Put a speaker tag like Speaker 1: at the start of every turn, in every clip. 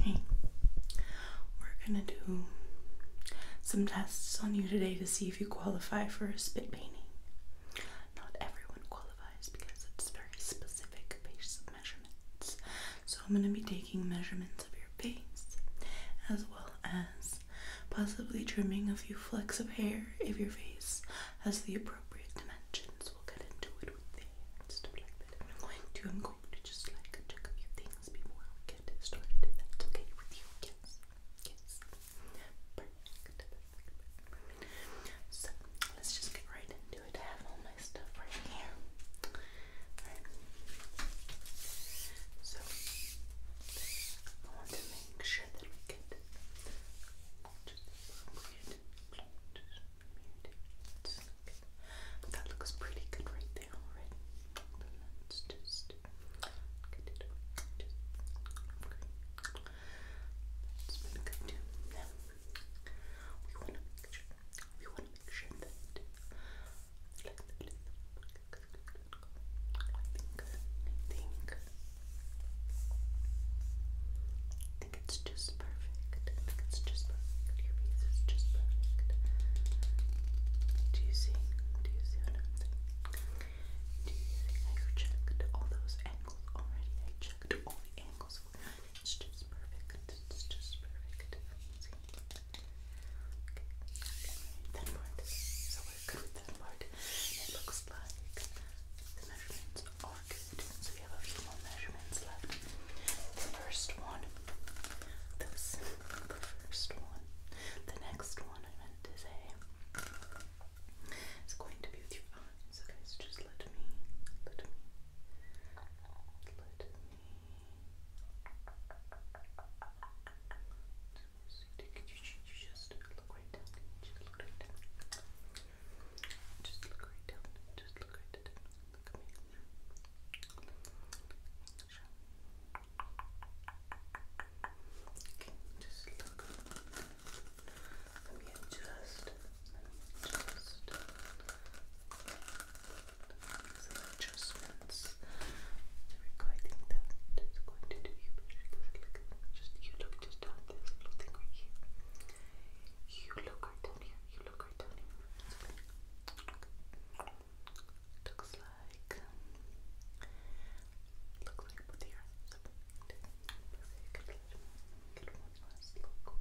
Speaker 1: Hey, we're gonna do some tests on you today to see if you qualify for a spit painting. Not everyone qualifies because it's very specific base measurements. So I'm gonna be taking measurements of your face as well as possibly trimming a few flecks of hair if your face has the appropriate dimensions. We'll get into it with the hair stuff like I'm going to I'm going to just like check a few things before we get started. If that's okay with you. Yes. Yes. Perfect. So let's just get right into it. I have all my stuff right here. Alright. So I want to make sure that we get Just Okay. That looks pretty good right there already. let's just get it over. Just, okay. That's pretty good too. we want to make sure, we want to make sure that, I think it's just perfect. I think it's just perfect. Your piece is just perfect. Do you see? Do you see what Do you see? I checked all those angles already. I checked all the angles It's just perfect. It's just perfect. See? Okay. Right. That part. So we're good with that part. It looks like the measurements are good. So we have a few more measurements left. The first one, the first one, the next one I meant to say is going to be with your eyes. Okay, so just let me, let me, let me just look right down. Just look right down. Just look right down. Just look right down. Look at me. just look. Let me adjust. Let me adjust. Some adjustments. There we go. I think going to do you just you look just down this little thing right here. You look right down here. You look right down here. Looks like looks like both your one last look.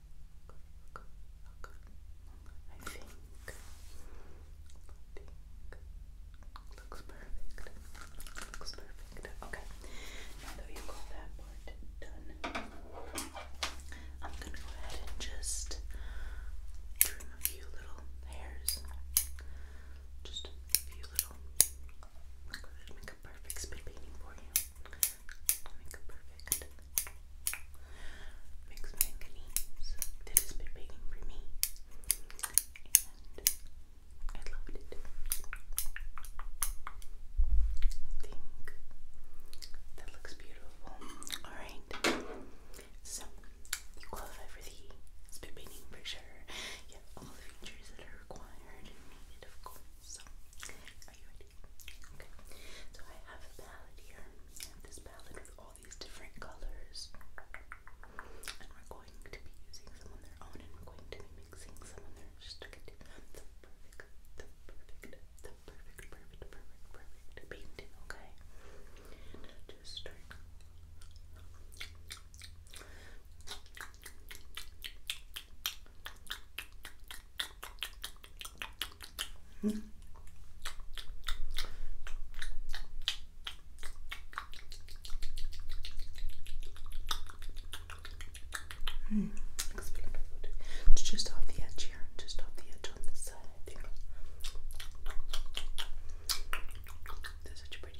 Speaker 1: I think, looks perfect. Looks perfect. Okay. Now that you got that part done, I'm gonna go ahead and just trim a few little hairs. Just a few little. I'm gonna make a perfect spit painting for you. Make perfect mixed manganese that has been baking for me, and I loved it. I think that looks beautiful. Alright, so you qualify for the spit painting for sure. You have all the features that are required needed, of course. So are you So I have a palette here. this palette with all these different colors. And we're going to be using some on their own and we're going to be mixing some on their just to get the perfect, the perfect, the perfect, perfect, perfect, perfect painting, okay? just start just off the edge here, just off the edge on this side. I think. such a pretty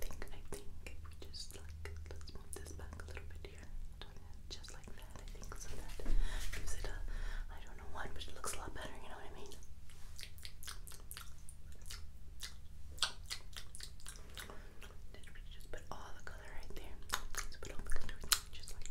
Speaker 1: think, I think we just like, let's move this back a little bit here. Just like that, I think, so that gives it a, I don't know what, but it looks a lot better, you know what I mean? Did we just put all the color right there? put all the color, just like,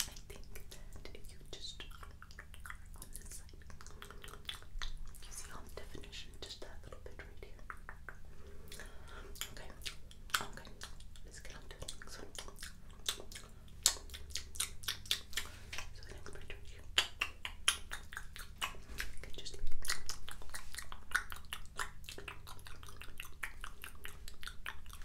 Speaker 1: I think that if you just you see on the definition, just that little bit right here. Okay, okay, let's get on to the next one. So the next part right here. Okay, just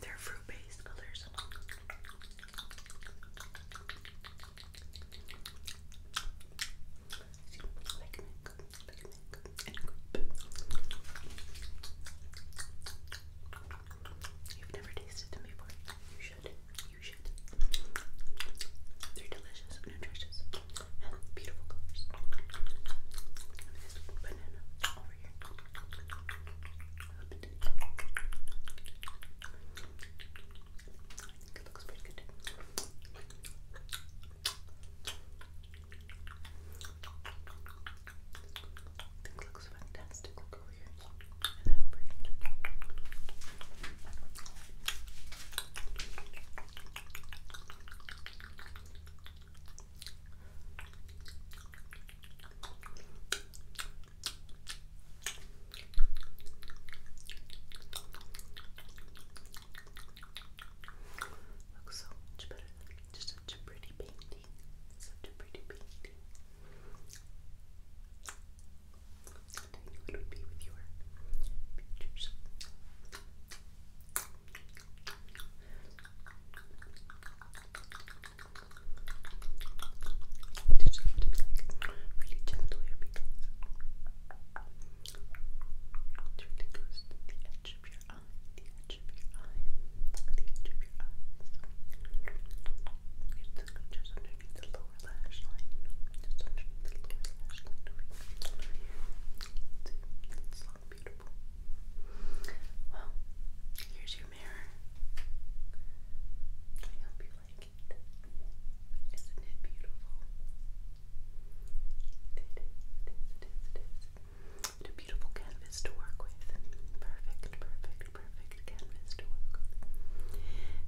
Speaker 1: They're fruit based colors. Like mango, You've never tasted them before. You should. You should. They're delicious, nutritious, and beautiful colors. this banana over here think it looks pretty good. I think it looks fantastic. Look over here. And then over here. Looks so much better such a pretty painting. Such a pretty painting. And I knew with your pictures. You just have to be like really gentle here because it really goes to the edge of your eye, the edge of your eye, the edge of your eye. So it's just underneath the lower lash line, just underneath the lower lash line over here. It's, it's long well, here's your mirror. I hope you like it. Isn't it beautiful? it is, it is, it is. It's a beautiful canvas to work with. Perfect, perfect, perfect canvas to work with.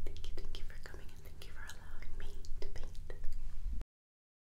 Speaker 1: Thank you, thank you for coming and thank you for allowing me to paint.